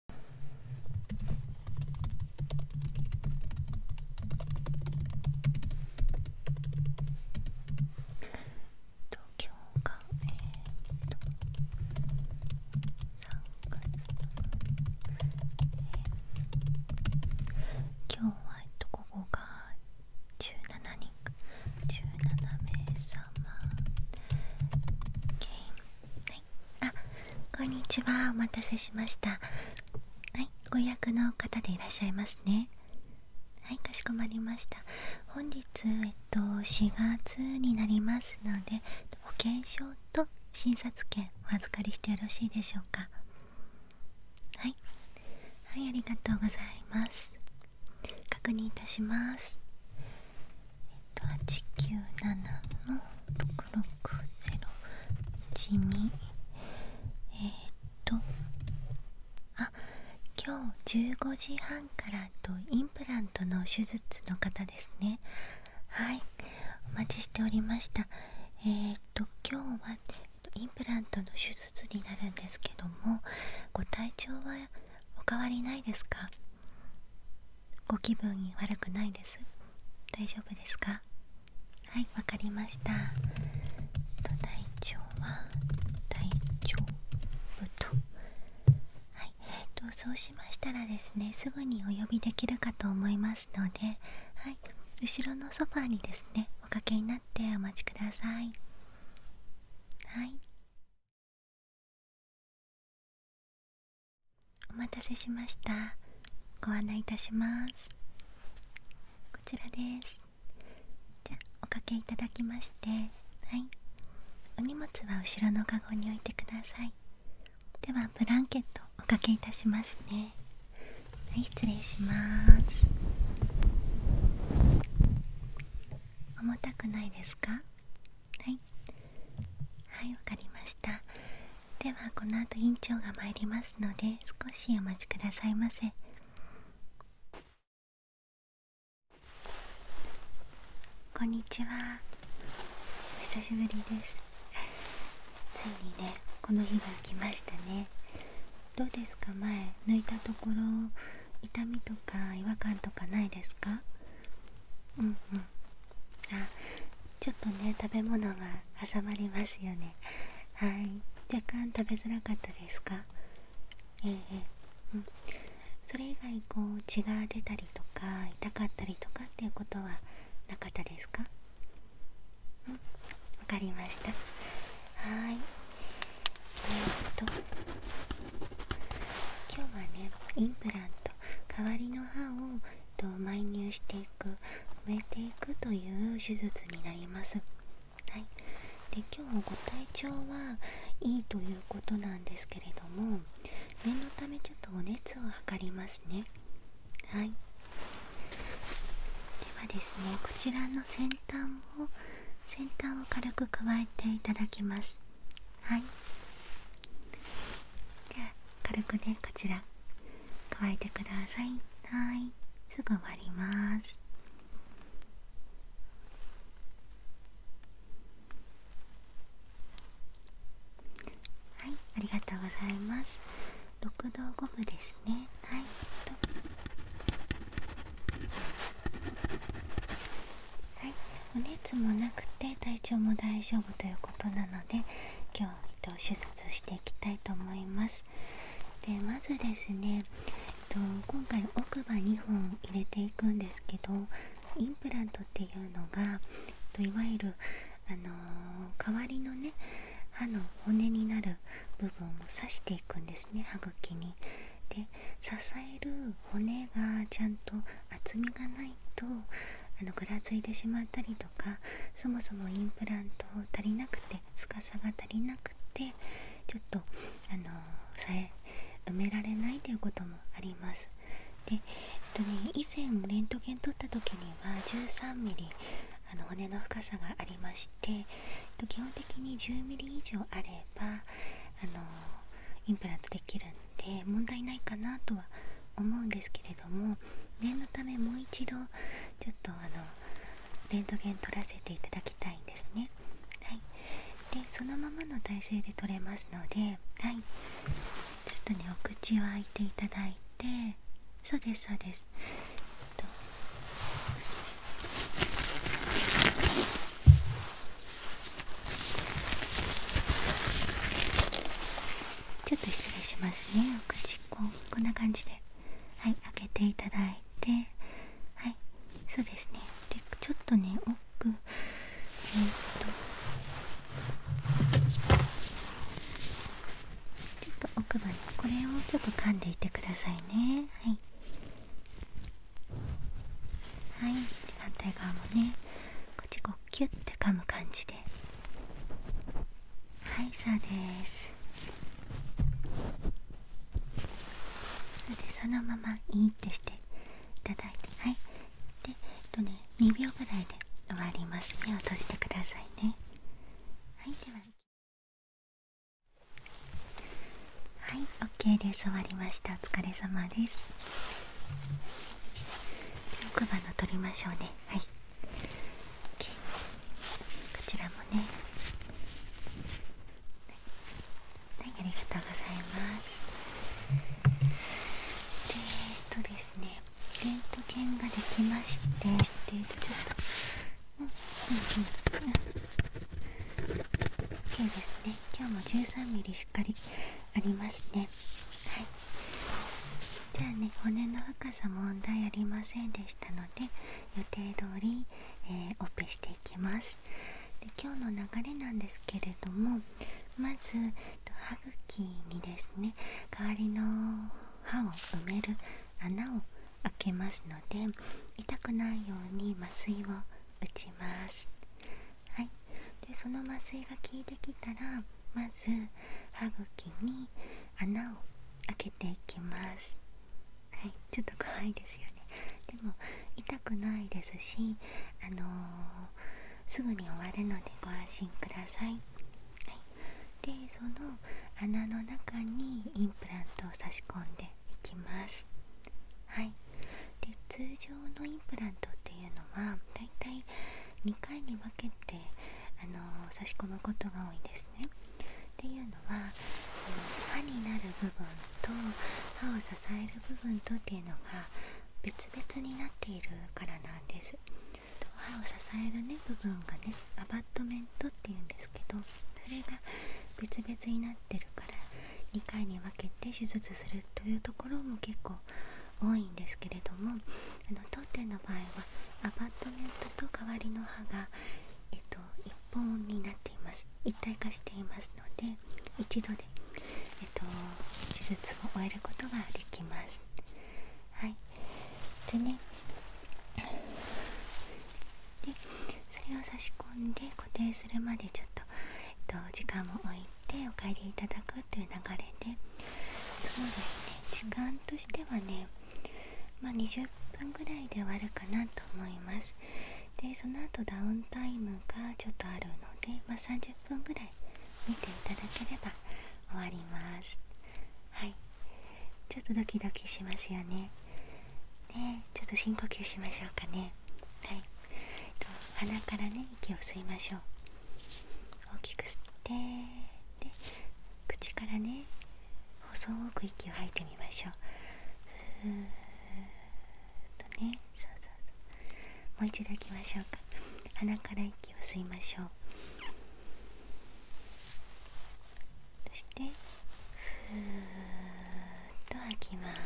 今日がえっと3月えー、今日はえっとここが17人17名様いあこんにちはお待たせしましたはいご予約の方でいらっしゃいますねはいかしこまりました本日えっと4月になりますので保険証と診察券お預かりしてよろしいでしょうかはいはいありがとうございます確認いたしますと八九の六六ゼロ一えっとあ今日15時半からとインプラントの手術の方ですねはいお待ちしておりましたえー、っと今日はインプラントの手術になるんですけどもご体調はお変わりないですかご気分悪くないです大丈夫ですかはいわかりました大腸はとはいとそうしましたらですねすぐにお呼びできるかと思いますのではい後ろのソファーにですねおかけになってお待ちくださいはいお待たせしましたご案内いたしますこちらですじゃおかけいただきましてはいお荷物は後ろのかごに置いてくださいではブランケットおかけいたしますねはい失礼します重たくないですかはいはいわかりましたではこの後院長が参りますので少しお待ちくださいませこんにちはお久しぶりですついにねこの日が来ましたねどうですか前抜いたところ痛みとか違和感とかないですかうんうんあちょっとね食べ物が挟まりますよねはい若干食べづらかったですかええうんそれ以外こう血が出たりとか痛かったりとかっていうことはなかったですかうんわかりましたはいえー、っと今日はねインプラント代わりの歯をと埋入していく埋めていくという手術になります。はい、で今日ご体調はいいということなんですけれども念のためちょっとお熱を測りますね。はいではですねこちらの先端を先端を軽く加えていただきます。はいあ軽くねこちら乾いてくださいはいすぐ終わりますはいありがとうございます6度5分ですねはいはい、お熱もなくて体調も大丈夫ということなので今日、えっと、手術をしていきたいと思いますでまずですね、えっと、今回奥歯2本入れていくんですけどインプラントっていうのが、えっと、いわゆる、あの代わりのね歯の骨になる部分を刺していくんですね歯茎に。で支える骨がちゃんと厚みがないないとあのぐらついてしまったりとかそもそもインプラント足りなくて深さが足りなくてちょっとあのさえ埋められないということもあります。でえっとね、以前レントゲン取った時には1 3ミリあの骨の深さがありまして、基本的に1 0ミリ以上あればインプラントできるんで問題ないかなとは思うんですけれども念のためもう一度ちょっとあのレントゲン取らせていただきたいんですねはいでそのままの体勢で取れますのではいちょっとねお口を開いていただいてそうですそうですちょっと失礼しますねお口こうこんな感じではい開けていただいてはいそうですねでちょっとね奥えっとちょっと奥歯にこれをちょっと噛んでいてくださいねはいはい反対側もねこっちこうキュッて噛む感じではいそうですそれでそのままインってしていただいてはいで、えとね、2秒ぐらいで終わります目を閉じてくださいねはいでははい OK です終わりましたお疲れ様です奥歯の取りましょうねはい、こちらもねはいありがとうございますえっとですねレントゲンができましてちょっとうんうんうんうん OK ですね今日も 13mm しっかりありますねはいじゃあね骨の深さ問題ありませんでしたので予定通り、えオペしていきますで今日の流れなんですけれどもまず歯茎にですね代わりの歯を埋める穴を開けますので痛くないように麻酔を打ちますはい、でその麻酔が効いてきたらまず歯茎に穴を開けていきますはいちょっと怖いですよねでも痛くないですしあのすぐに終わるのでご安心ください、はい、でその穴の中にインプラントを差し込んでいきますはいで通常のインプラントっていうのはだいたい2回に分けて、あの差し込むことが多いですねっていうのは歯になる部分と歯を支える部分とっていうのが別々になっているからなんですと歯を支えるね部分がねアバットメントっていうんですけどそれが別々になってるから2回に分けて手術するというところも結構多いんですけれどもあの当店の場合はアパートメントと代わりの歯が、えっと、1本になっています一体化していますので一度で、えっと、手術を終えることができます。はい、でねでそれを差し込んで固定するまでちょっとえっと、時間を置いてお帰りいただくという流れでそうですね時間としてはね、ま20分ぐらいで終わるかなと思いますでその後ダウンタイムがちょっとあるので、ま30分ぐらい見ていただければ終わりますはいちょっとドキドキしますよねねちょっと深呼吸しましょうかねはい、えっと、鼻からね息を吸いましょう大きく吸ってで口からね細く息を吐いてみましょうふーっとねそうそうそうもう一度吐きましょうか鼻から息を吸いましょうそしてふーっと吐きます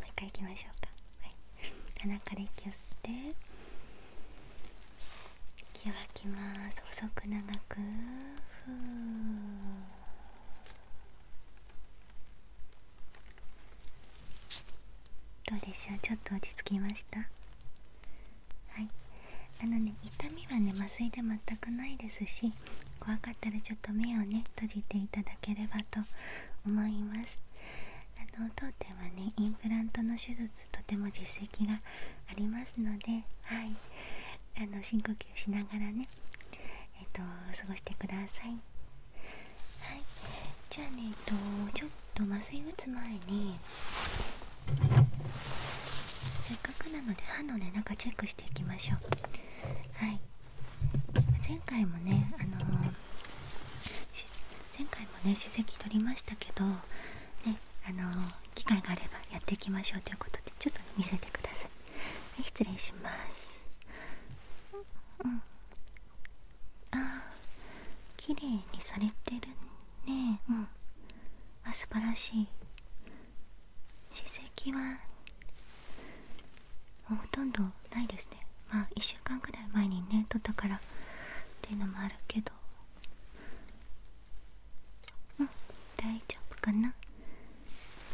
う一回いきましょうか鼻から息を吸って息を吐きます細く長くどうでしょうちょっと落ち着きましたあのね痛みはね麻酔で全くないですし怖かったらちょっと目をね閉じていただければと思いますあの当店はねインプラントの手術とても実績がありますので、はい、あの深呼吸しながらねえっ、と過ごしてくださいはいじゃあねえっ、とちょっと麻酔打つ前にせっかくなので歯のね中チェックしていきましょうはい前回もねあの前回もね史跡取りましたけどねあの機会があればやっていきましょうということでちょっと、見せてください、い、失礼しますうんあ綺麗にされてるねうんあ素晴らしい史跡はほとんどないですねまあ1週間ぐらい前にね撮ったからっていうのもあるけどうん大丈夫かな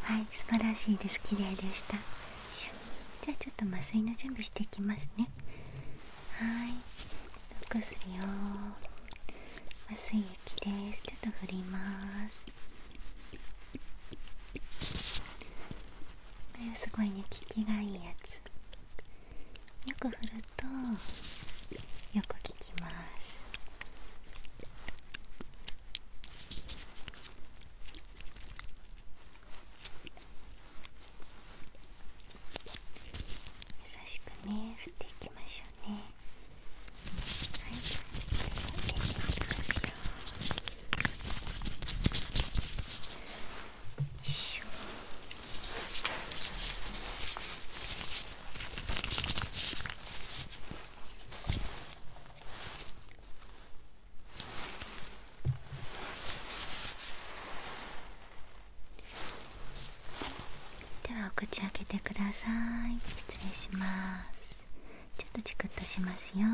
はい素晴らしいです綺麗でしたじゃあちょっと麻酔の準備していきますねはいお薬を麻酔液ですちょっと振りますすごいね効きがいいやつよく振るとよく効きます優しくね振っていきましょうねはいではできますよではお口開けてください失礼しますちょっとチクッとしますよ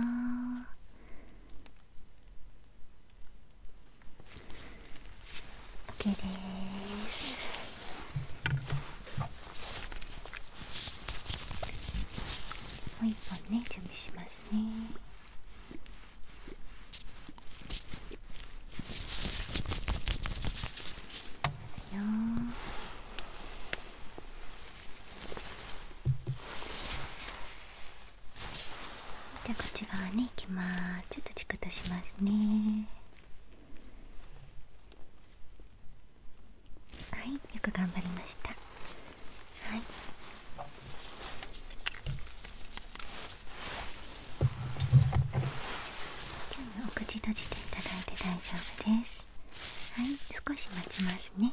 OK ですもう一本ね準備しますねいきますよじゃあこっち側に行きますちょっとチクッとしますねはいよく頑張りましたはいお口閉じていただいて大丈夫ですはい少し待ちますね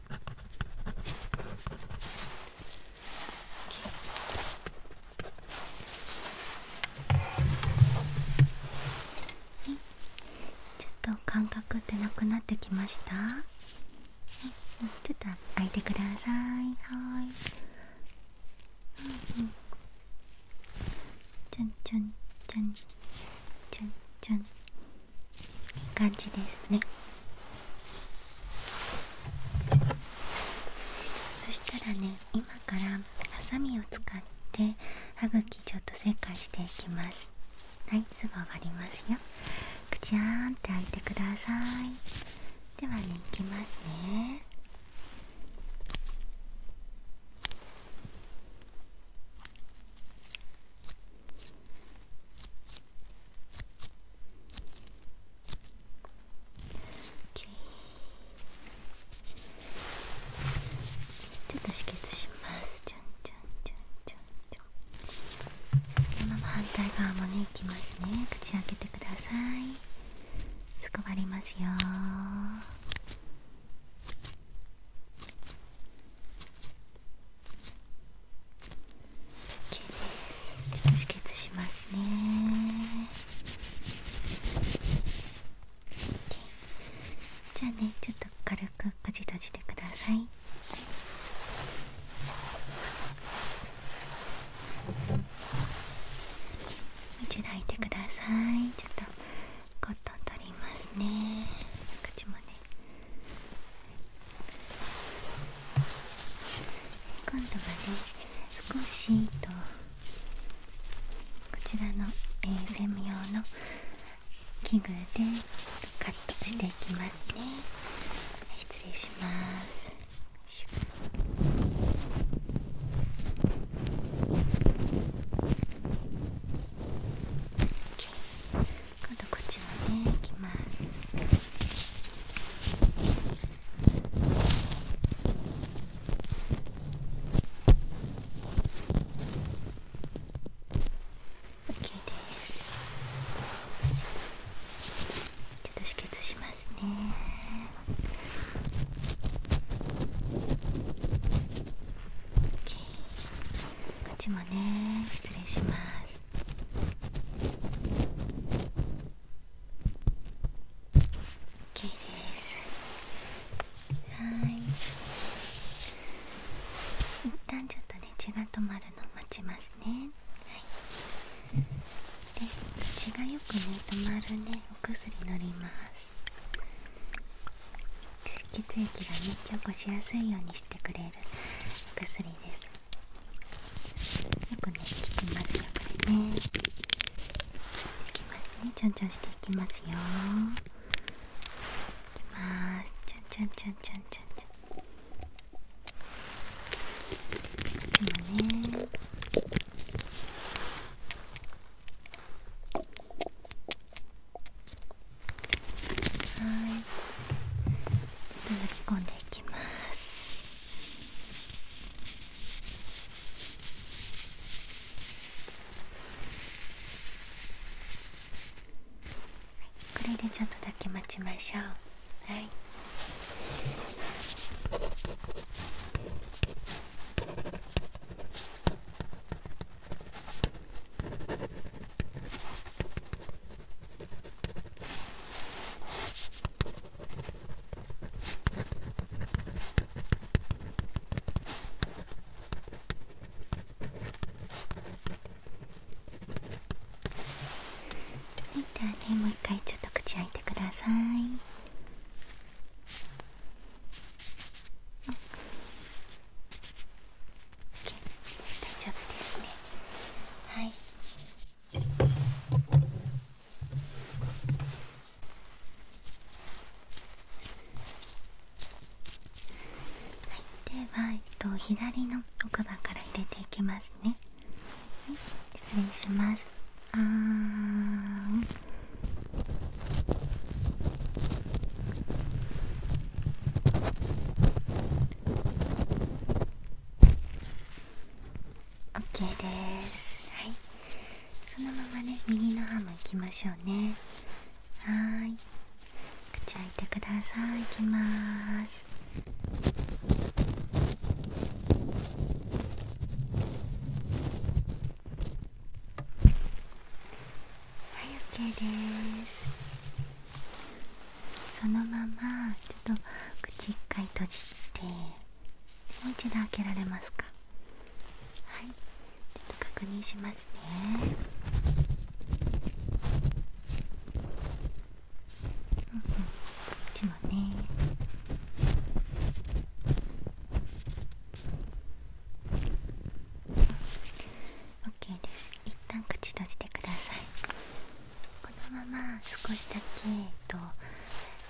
はい、ちょっと感覚ってなくなってきました、はい、ちょっと開いてくださいはいうんうんちゃんちゃんちゃんちゃんちゃんいい感じですねそしたらね今からハサミを使って歯茎ちょっと切開していきますはいすぐ終わりますよくちゃーんって開いてくださいではねいきますねちょっと止血しますちょんちょんちょんちょんちょんそのまま反対側もねいきますね口開けてくださいすこばりますよ OK ですちょっと止血しますね OK じゃあねちょっと軽くこじ閉じてください一度開いてくださいちょっとコットン取りますね口もね今度はね少しとこちらの、え専用の器具でカットしていきますね、失礼します今度こっちもねいきますオッケーですちょっと止血しますねオッケーっちもね失礼します綺麗ですはい一旦ちょっとね血が止まるの待ちますねはいで血がよくね止まるねお薬塗ります血液がね、起固しやすいようにしてくれるお薬ですよくね効きますよこれね効きますねちょんちょんしていきますよいきますちょんちょんちょんちょんちょんちょん今ねはい叩き込んでいきますこれでちょっとだけ待ちましょうはいじゃあねもう一回ちょっと口開いてください大丈夫ですねはいはい、では、えっと、左の奥歯から入れていきますね、はい、失礼しますあーオッケーですはいそのままね右の歯もいきましょうねはい口開いてくださいいきますはい OK ですそのままちょっと口一回閉じてもう一度開けられますかはい確認しますねうんうんこっちもねオッケーです一旦口閉じてくださいこのまま少しだけ、と、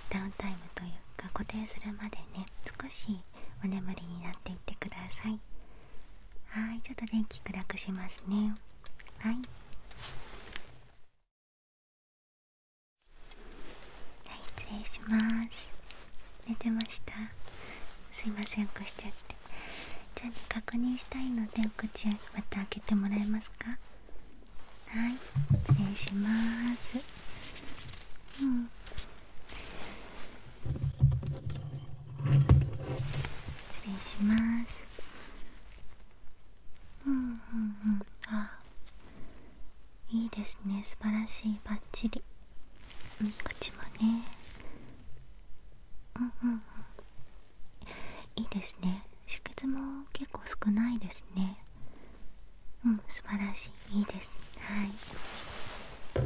ダウンタイムというか固定するまでね少しお眠りになっていてくださいはいちょっと電気暗くしますねはいはい失礼します寝てましたすいません起こしちゃってじゃあ確認したいのでお口また開けてもらえますかはい失礼しますうん失礼しますうんうんうんあいいですね素晴らしいバッチリうんこっちもねうんうんうんいいですね出血も結構少ないですねうん素晴らしいいいですはいじゃ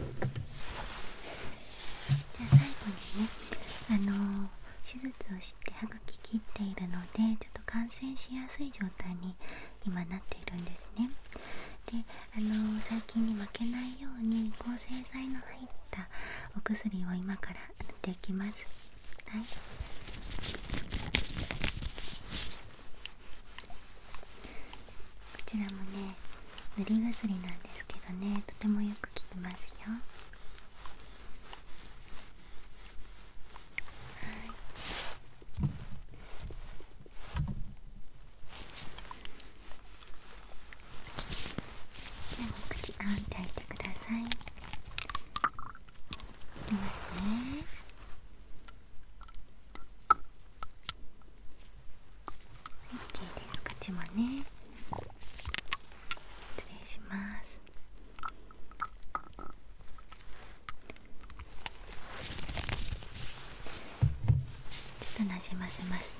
あ最後にねあの手術をして歯がき切っているのでちょっと感染しやすい状態に今なっているんですねであの最近に負けないように抗生剤の入ったお薬を今から塗っていきますはいこちらもね塗り薬なんですけどねとてもよく効きますよはいじゃあお口あんて開いてくださいいますねはい、OK です口もね失礼しますちょっとなじませます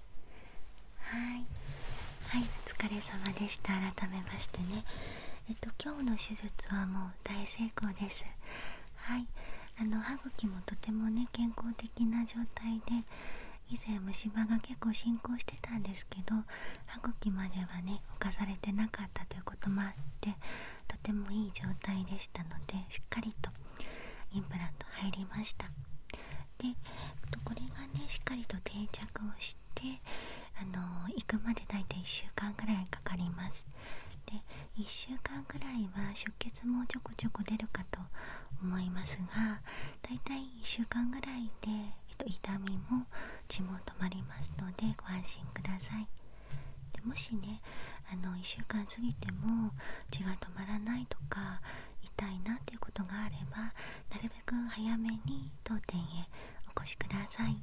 はいはいお疲れ様でした改めましてねえっと今日の手術はもう大成功ですはいあの歯茎もとてもね健康的な状態で以前虫歯が結構進行してたんですけど歯茎まではね犯されてなかったということもあってとてもいい状態でしたのでしっかりとインプラント入りましたでこれがねしっかりと定着をしてあの行くまで大体1週間ぐらいかかりますで1週間ぐらいは出血もちょこちょこ出るかと思いますが大体1週間ぐらいで、えっと、痛みも血も止まりますのでご安心くださいでもしねあの1週間過ぎても血が止まらないとか痛いなということがあればなるべく早めに当店へお越しください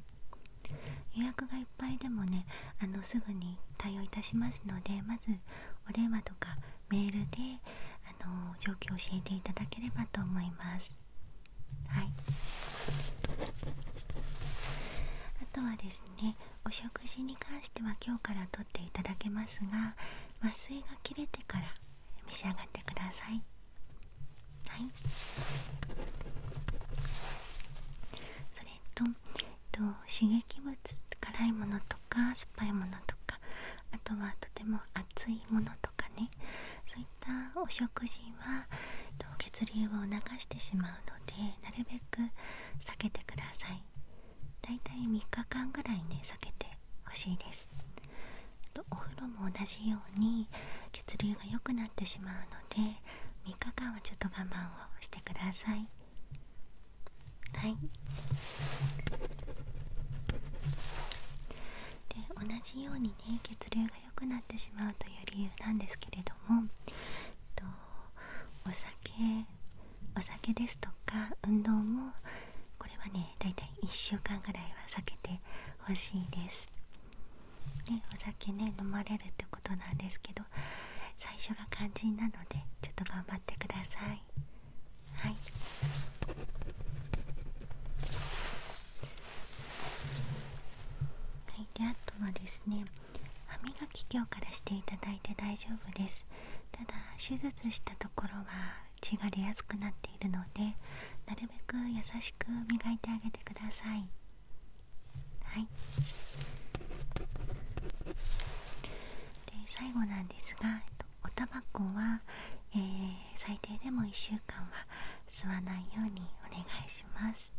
予約がいっぱいでもねあのすぐに対応いたしますのでまずお電話とかメールであの状況を教えていただければと思いますはいあとはですねお食事に関しては今日からとっていただけますが麻酔が切れてから召し上がってくださいはいそれと,、えっと刺激物辛いものとか酸っぱいものとかあとはとても熱いものとかねそういったお食事は、えっと、血流を促してしまうのでなるべく避けてくださいだいたい3日間ぐらいね避けてほしいですお風呂も同じように血流が良くなってしまうので3日間はちょっと我慢をしてくださいはいで同じようにね血流が良くなってしまうという理由なんですけれども、えっと、お酒お酒ですとか運動もこれはねだいたい1週間ぐらいは避けてほしいですでお酒ね飲まれるってことなんですけど最初が肝心なのでちょっと頑張ってくださいはいはいであとはですね歯磨き今日からしていただいて大丈夫ですただ手術したところは血が出やすくなっているのでなるべく優しく磨いてあげてくださいはいで最後なんですがおタバコは、え最低でも1週間は吸わないようにお願いします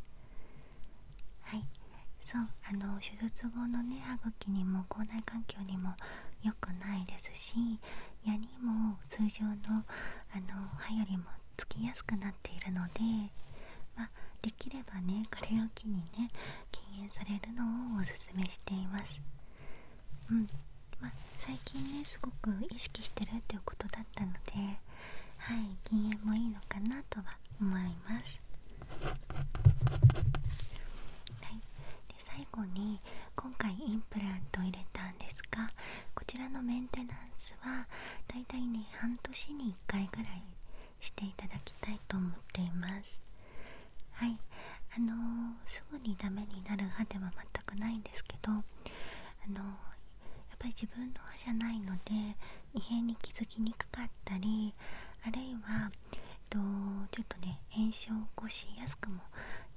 はいそうあの手術後のね歯茎にも口内環境にも良くないですし矢にも通常のあの歯よりもつきやすくなっているので、まできればねこれを機にね禁煙されるのをおすすめしています。うんま最近ねすごく意識してるっていうことだったのではい禁煙もいいのかなとは思います。は最後に今回インプラントを入れたんですがこちらのメンテナンスはだいたいね半年に1回ぐらいしていただきたいと思っていますはいあのすぐにダメになる歯では全くないんですけどあのやっぱり自分の歯じゃないので異変に気づきにくかったりあるいは、えっと、ちょっとね炎症を起こしやすくも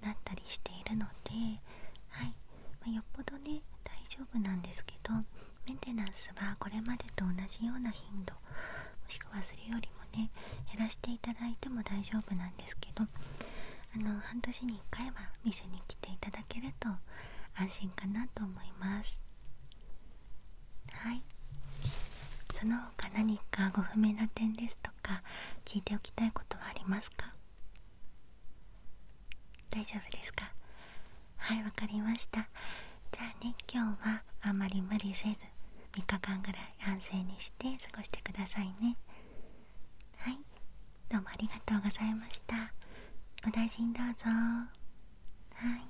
なったりしているので、はいまよっぽどね大丈夫なんですけどメンテナンスはこれまでと同じような頻度もしくはそれよりもね減らしていただいても大丈夫なんですけどあの半年に1回は店に来ていただけると安心かなと思いますはいその他何かご不明な点ですとか聞いておきたいことはありますか大丈夫ですかはいわかりましたじゃあね今日はあんまり無理せず3日間ぐらい安静にして過ごしてくださいねはいどうもありがとうございましたお大事にどうぞはい